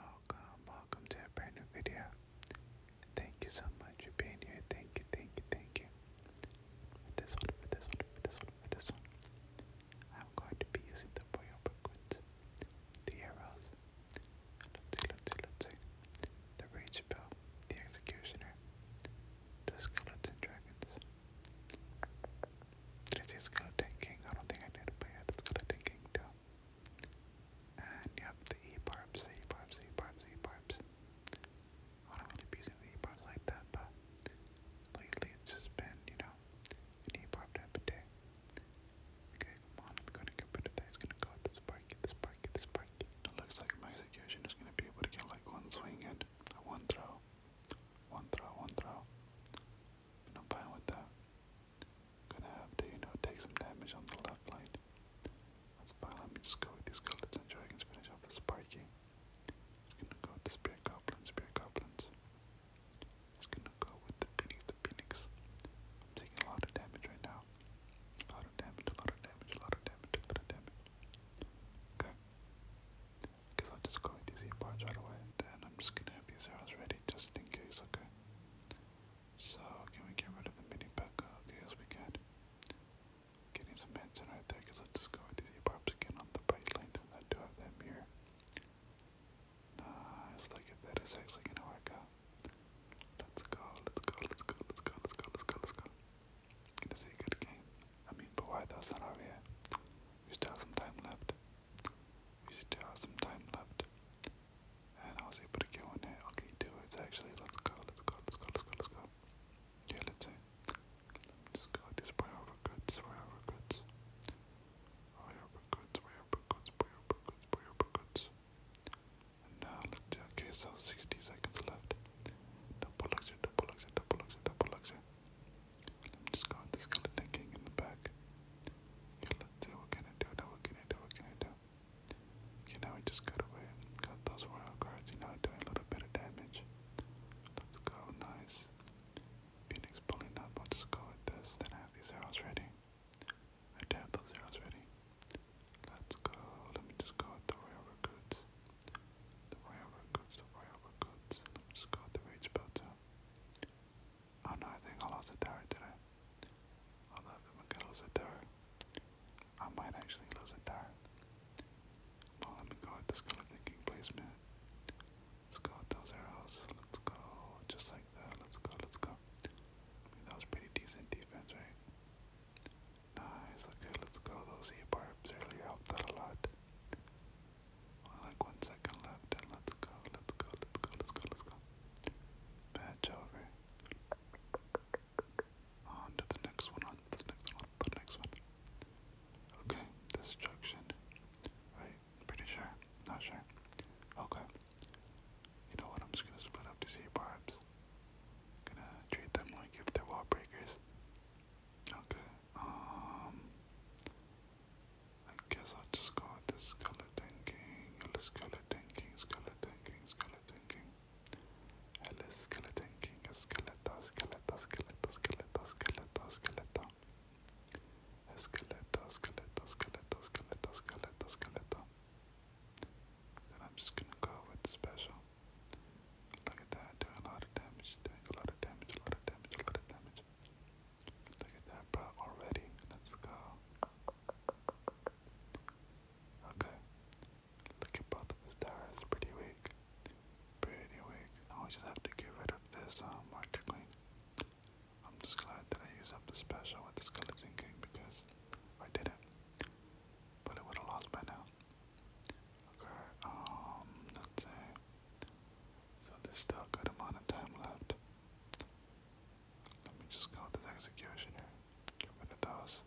Welcome, welcome to a brand new video. Thank you so much for being here. Thank you, thank you, thank you. For this one, for this one, for this one, for this one. I'm going to be using the Royal Brooklyn, the arrows. Let's see, let's see, let's see. The Rage Bell, the Executioner, the Skeleton Dragons. Did I see Skeleton King? I don't think I did, but yeah, the Skeleton King too. And yep, the E barbs, E barbs, E barbs, E barbs. I don't really be using the E barbs like that, but lately it's just been, you know, an E barb every day. Okay, come on, I'm gonna get rid of that. It's gonna go with the sparky, the sparky, the sparky. It looks like my execution is gonna be able to like one swing and one throw. One throw, one throw. I'm fine with that. Gonna have to, you know, take some damage on the left lane. That's fine, let me just go with these skeletons and finish off the spiky. It's gonna go with the spear goblins, spear goblins. It's gonna go with the phoenix, the phoenix. taking a lot of damage right now. A lot of damage, a lot of damage, a lot of damage, a lot of damage. Okay. Because I'll just go with these e right away. Then I'm just gonna have these arrows ready ready just in case, okay? So, can we get rid of the mini P.E.K.K.A? Okay, yes we can. Getting some hits in right there, because I'll just go with these props again on the right lane since I do have that mirror. Nice, look at that, it's actually gonna work out. Let's go, let's go, let's go, let's go, let's go, let's go, let's go. Gonna see a good game. I mean, but why that's not over yet. We still have some time left we still have some time left. And I was able to get one there. Okay, do it. Actually, let's go. Let's go. Let's go. Let's go. Let's go. Yeah, let's see. Let me just go with these priority goods. Priority goods. Priority goods. Priority goods. Priority goods. Priority goods. now, let's see. Okay, so 60 seconds left. Double exit. Double exit. Double exit. Double exit. I'm just going with the skeleton king in the back. let's see what can I do, now what can I do, what can I do? Okay, now we just got away. Got those royal guards, you know, doing a little bit of damage. Let's go, nice. Phoenix pulling up, I'll just go with this. Then I have these arrows ready. I do have those arrows ready. Let's go, let me just go with the royal recruits. The royal recruits, the royal recruits. just go the rage belt Oh no, I think I lost a tower, did I? Although if I'm gonna lose a tower, I might actually lose a tower. Well, let me go with this color thinking placement. Let's go with those arrows. Let's go just like that. Let's go, let's go. I mean, that was pretty decent defense, right? Nice, okay, let's go. Those E-barbs really helped out a lot like one second left and let's go, let's go, let's go, let's go, let's go. Patch over. On to the next one, on the next one, the next one. Okay, destruction. Right, pretty sure. Not sure. Okay. You know what? I'm just gonna split up these barbs. Gonna treat them like if they wall breakers. Okay, um, I guess I'll just go with the Skeleton King, Hello Skeleton King, Skeleton King, Skeleton King, Hello Skeleton King, Skeleta, Skeleta, Skeleta, Skeleta, Skeleta, Skeleta, Skeleta, Skeleta, Skeleta, Skeleta, Skeleta, Skeleta. Then I'm just gonna go with Special. Look at that, doing a lot of damage, doing a lot of damage, a lot of damage, a lot of damage. Look at that, bro, already. Let's go. Okay. Look at both of his towers, pretty weak. Pretty weak. Now we just have to get rid of this um, Marker Queen. I'm just glad that I used up the special with the Skeleton King because I didn't. But it would have lost by now. Okay, um, let So there's still a good amount of time left. Let me just go with this executioner. Get rid those.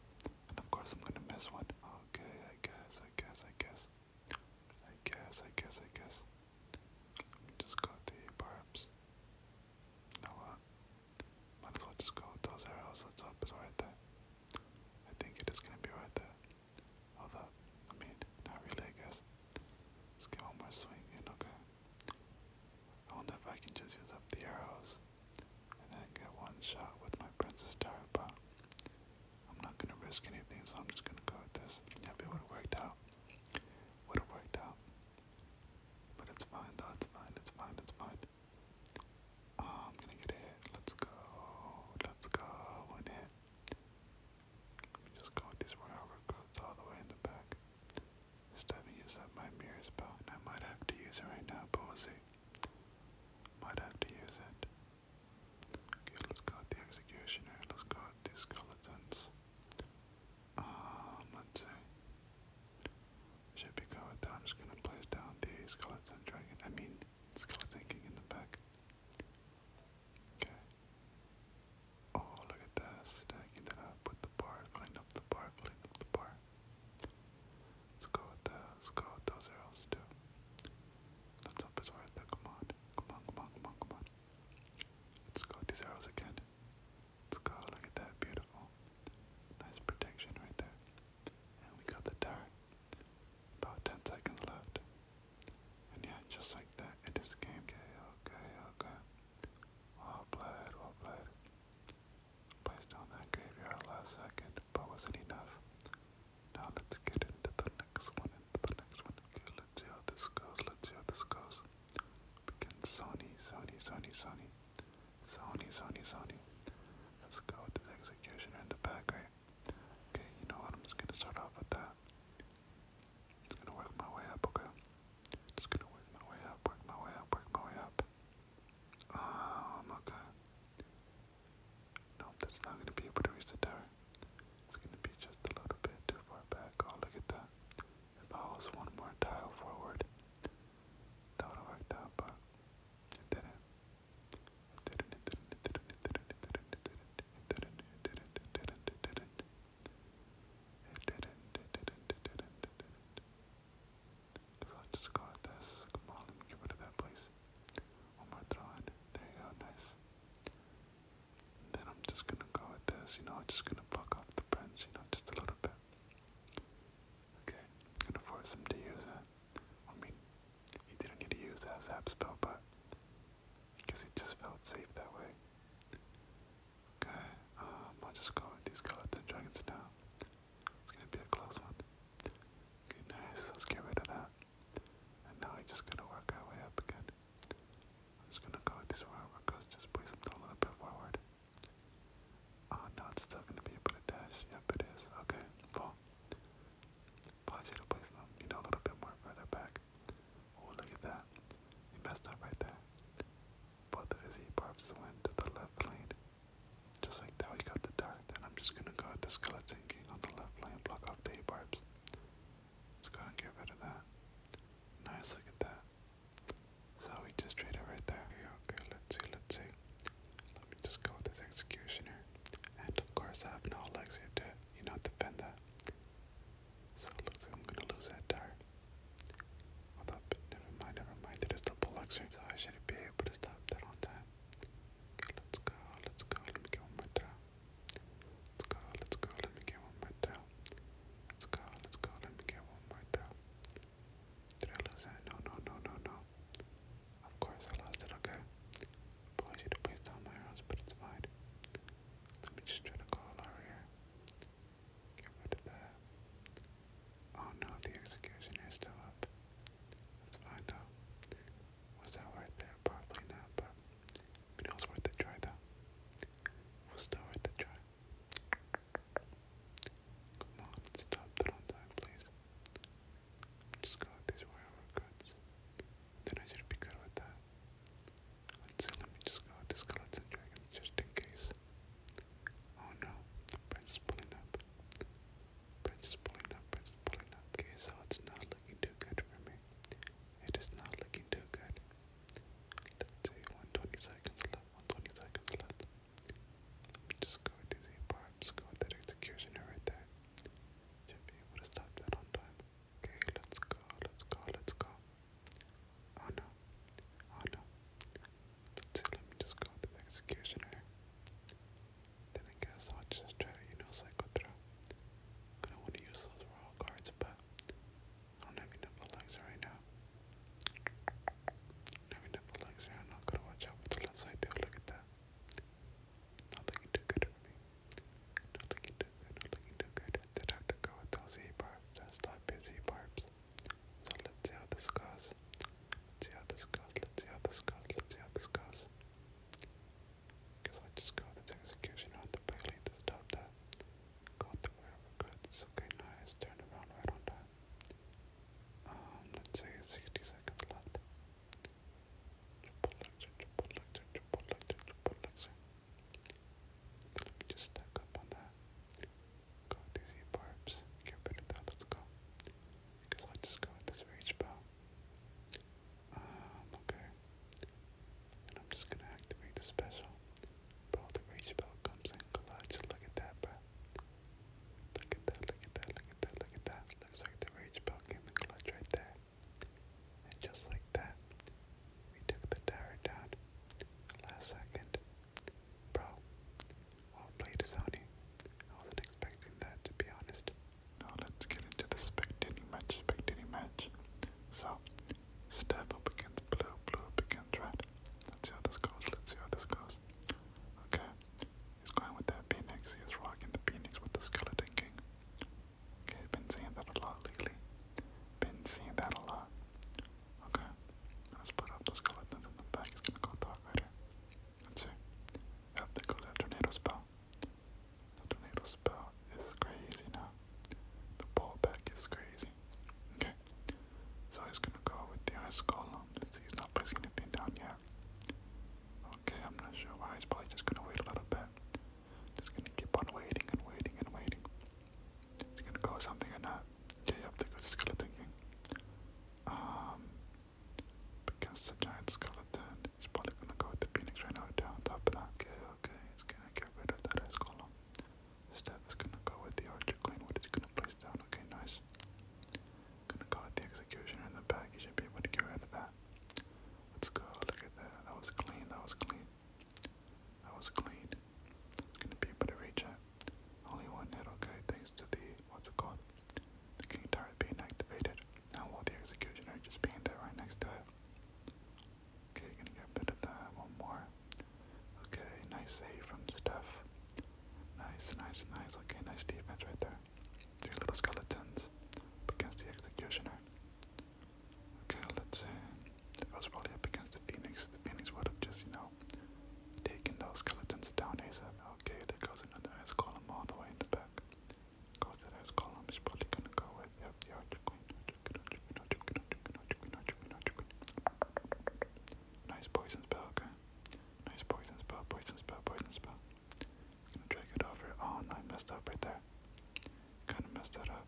And of course I'm gonna miss one. Okay, I guess, I guess, I guess. I guess, I guess, I guess. Let me just go with the barbs. You Might as well just go with those arrows. Let's hope right there. I think it is gonna be right there. Although, I mean, not really, I guess. Let's get one more swing in, okay. I wonder if I can just use up the arrows and then get one shot with my Princess Tower, but I'm not gonna risk anything, so I'm just gonna go with this. Yep, it would've worked out. Would've worked out. But it's fine, though, fine, it's fine, it's fine. Oh, I'm gonna get a hit. Let's go. Let's go. One hit. Let me just go with these royal recruits all the way in the back. Steven used up my mirror spell, and I might have to use it right now, but we'll see. Might have to use it. Okay, let's go with the executioner. Let's go with these skeletons. Um, let's see. Should be good with that. I'm just gonna place down the skeleton dragon. I mean, Let's go thinking in the back. Okay. Oh, look at that. Stacking that up with the bar, filling up the bar, filling up the bar. Let's go with that. Let's go with those arrows too. Let's hope it's worth it. Come on, come on, come on, come on. Let's go with these arrows again. Let's go. Look at that. Beautiful. Nice protection right there. And we got the dart. About 10 seconds left. And yeah, just like that, it is game. Okay, okay, okay. Well played, well played. Placed on that graveyard last second, but wasn't enough. Now let's get into the next one, into the next one. Okay, let's see how this goes, let's see how this goes. Begin Sony, Sony, Sony, Sony. Sony, Sony, Sony. Let's go with this X in the back, right? Okay, you know what? I'm just gonna start off with that. Just gonna work my way up, okay? Just gonna work my way up, work my way up, work my way up. Um, okay. Nope, that's not gonna be able to reach the tower. It's gonna be just a little bit too far back. Oh, look at that. If I was one more tile forward, that would have worked out, but it didn't did Cause I just got this. Come on, get rid of that please. One more throw There you go, nice. then I'm just gonna go with this, you know, I'm just gonna pluck off the prints, you know, just a little bit. Okay, gonna force him to use it. I mean, he didn't need to use that zap spell, but because guess he just felt safe that way. Okay, um, I'll just go with these skeleton dragons now. It's gonna be a close one. Okay, nice. Let's get rid of that. now I just gotta work our way up again. I'm just gonna go with these royal workers, just place them a little bit forward. Oh no, it's still gonna be able to dash. Yep, it is. Okay, well. Probably should have placed them, you know, a little bit more further back. Oh, look at that. He messed up right there. Both of his E-Barps went to the left lane. Just like that, we got the dart. And I'm just gonna go at the Skeleton King on the left lane, block off the E-Barps. Let's go and get rid of that. Nice, look at that. So we just trade it right there. Okay, let's see, let's see. Let me just go with this executioner. And of course I have no legs here to, you know, defend that. So it looks like I'm gonna lose that dart. Hold never mind, never mind. They just double elixir, so I should be able to stop that on time. Okay, let's go, let's go, let me get one more throw. Let's go, let's go, let me get one more throw. Let's go, let's go, let me get one more throw. Did I lose that? No, no, no, no, no. Of course I lost it, okay. Apology to place down my arrows, but it's fine. Let me just try to call over here. Get rid of Oh no, the executioner is still up. That's fine though. Was that worth it? Probably not, but it was worth a try though. It was still worth a try. Come on, stop that on time, please. Just go with these wherever cuts. Then I should be good with that. Let's see, let me just go with the skeleton dragon just in case. Oh no, prince pulling up. Prince pulling up, prince pulling up. Okay, so it's not looking too good for me. It is not looking too good. Let's see, 120 seconds left, 120 seconds left. Let me just go with these 8 barbs, go with that executioner right there. Should be able to stop that on time. Okay, let's go, let's go, let's go. Oh no, oh no. Let's see, let me just go with the executioner. Then I guess I'll just try to, you know, cycle through. I'm gonna want to use those royal cards, but I don't have enough right now. I don't have enough Alexa. I'm to watch out with the left side too. Look at that. Not looking too good for me. Not looking too good. Not looking too good. I have to go with those E barbs. That's not busy barbs. So let's see how this goes. see how this goes. Let's see how this goes. Let's see how this goes. Because I just got this execution on the belly to stop that. Got the whatever goods. Okay, nice. Turned around right on time. Um, let's say 60 seconds left. Triple lecture, triple lecture, triple lecture, triple lecture. Let me just stack up on that. Got these barbs. Get rid of that. Let's go. Because i just go this rage bow. Um, okay. And I'm just gonna activate the special. Bro, the reach belt comes in clutch. Look at that, bro. Look at that, look at that, look at that, look at that. Looks like the reach belt came in clutch right there. And just like that, we took the tower down. Last second. Bro, well played, Sony. I wasn't expecting that, to be honest. Now let's get into the spectating match, spectating match. So, Step up against blue, blue against red. Let's see how this goes, let's see how this goes. Okay, he's going with that Phoenix, he rocking the Phoenix with the Skeleton King. Okay, been seeing that a lot lately. Been seeing that a lot. Okay, let's put up the skeletons in the back, he's gonna go Dark Let's see. Yep, goes that tornado spell. The tornado spell is crazy now the pullback is crazy. Okay, so he's gonna go with the ice column. let he's not placing anything down yet. Okay, I'm not sure why. He's probably just gonna wait a little bit. Just gonna keep on waiting and waiting and waiting. Is gonna go something or not? Yeah, yep, there goes Skeleton Um, against the giant skeleton, he's probably gonna go with the Phoenix right now down top of Okay, okay, he's gonna get rid of that ice column. Steph is gonna go with the archer queen. What is he gonna place down? Okay, nice. Gonna go with the executioner in the back. You should be able to get rid of that. Let's go. Look at that. That was clean. That was clean. That was clean. Gonna be able to reach it. Only one hit. Okay, thanks to the what's it called? The king turret being activated. Now, while the executioner just being there right next to it. Okay, gonna get a bit of that. One more. Okay, nice save from Steph. Nice, nice, nice. Okay, nice defense right there. Three little skeletons up against the executioner. Okay, let's see. If I was probably up against the Phoenix, the Phoenix would have just, you know, taken those skeletons down ASAP. Okay, there goes another ice column all the way in the back. Goes that ice column. He's probably gonna go with Yep, you are the queen. Nice poison spell, okay? Nice poison spell, poison spell, poison spell. gonna drag it over. Oh no, I messed up right there. Kinda messed that up.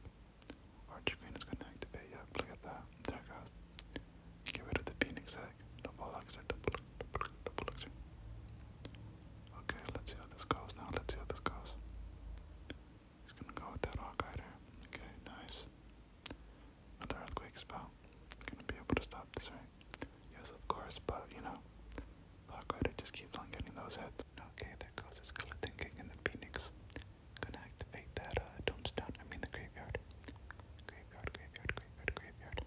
Archer Queen is gonna activate, yep, look at that. There goes. Get rid of the Phoenix Egg. Double elixir, double, double, double elixir. Okay, let's see how this goes now. Let's see how this goes. Just gonna go with that Hawk Okay, nice. Another Earthquake spell. Gonna be able to stop this, right? Yes, of course, but you know, Hawk just keeps on getting those hits. Okay, there goes his Skeleton Kick in the Phoenix. Gonna that uh, Tombstone, I mean the Graveyard. Graveyard, Graveyard, Graveyard, Graveyard.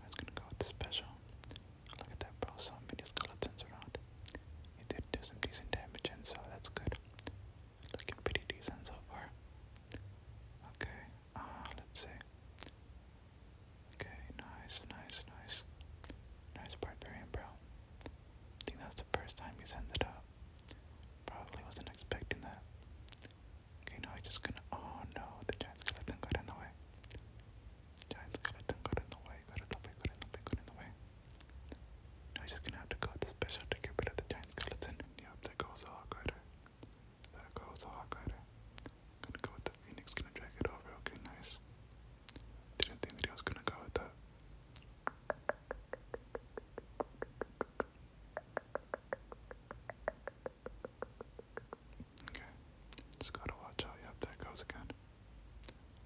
I gonna go with Special. Look at that, bro. So many skeletons around. You did do some decent damage, and so that's good. Looking pretty decent so far. Okay, uh, let's see. Okay, nice, nice, nice. Nice barbarian, bro. I think that's the first time he's ended up. Probably wasn't expecting that. Okay, now I just gonna. Oh no, the giant skeleton got in the way. Giant skeleton got the way, got the way, got the way, got the way. Now just gonna have to go the special to get rid of the giant skeleton. Yep, there goes the Hawk Rider. There goes the Hawk Gonna go with the Phoenix, gonna drag it over, okay, nice. Didn't think that he was gonna go with that. Okay, just gotta watch out. Yep, goes again.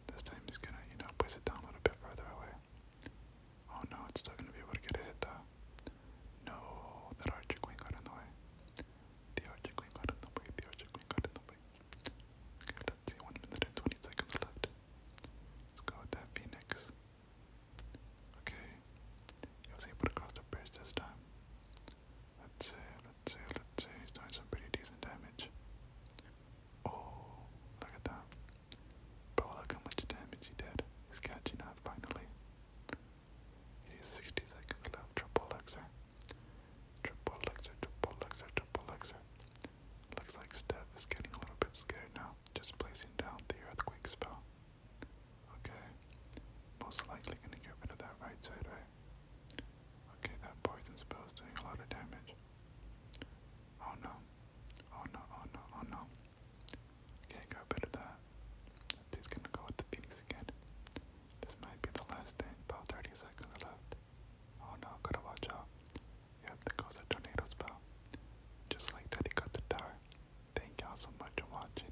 This time he's gonna, you know, place it down a little bit further away. Oh no, it's still gonna be able to get a hit though. No, that Archer Queen got in the way. The Archer Queen got in the way, the Archer Queen got in the way. Okay, let's see, 1 minute and 20 seconds left. Let's go with that Phoenix. Okay, he was able to cross the bridge this time. Let's see, let's see, let's see. He's doing some pretty decent damage. Oh, look at that. But look how much damage he did. He's catching up finally. He's 60 seconds left. Triple Luxor. Triple Luxor, triple Luxor, triple Luxor. Looks like Steph is getting a little bit scared now. Just placing down the earthquake spell. Okay. Most likely gonna get rid of that right side, right? Okay. that poison spell's doing a lot of damage. Oh no. Oh no, oh no, oh no. can go rid of that. He's gonna go with the Phoenix again. This might be the last thing. About 30 seconds left. Oh no, gotta watch out. Yeah, there goes a tornado spell. Just like that, got the tower. Thank y'all so much for watching.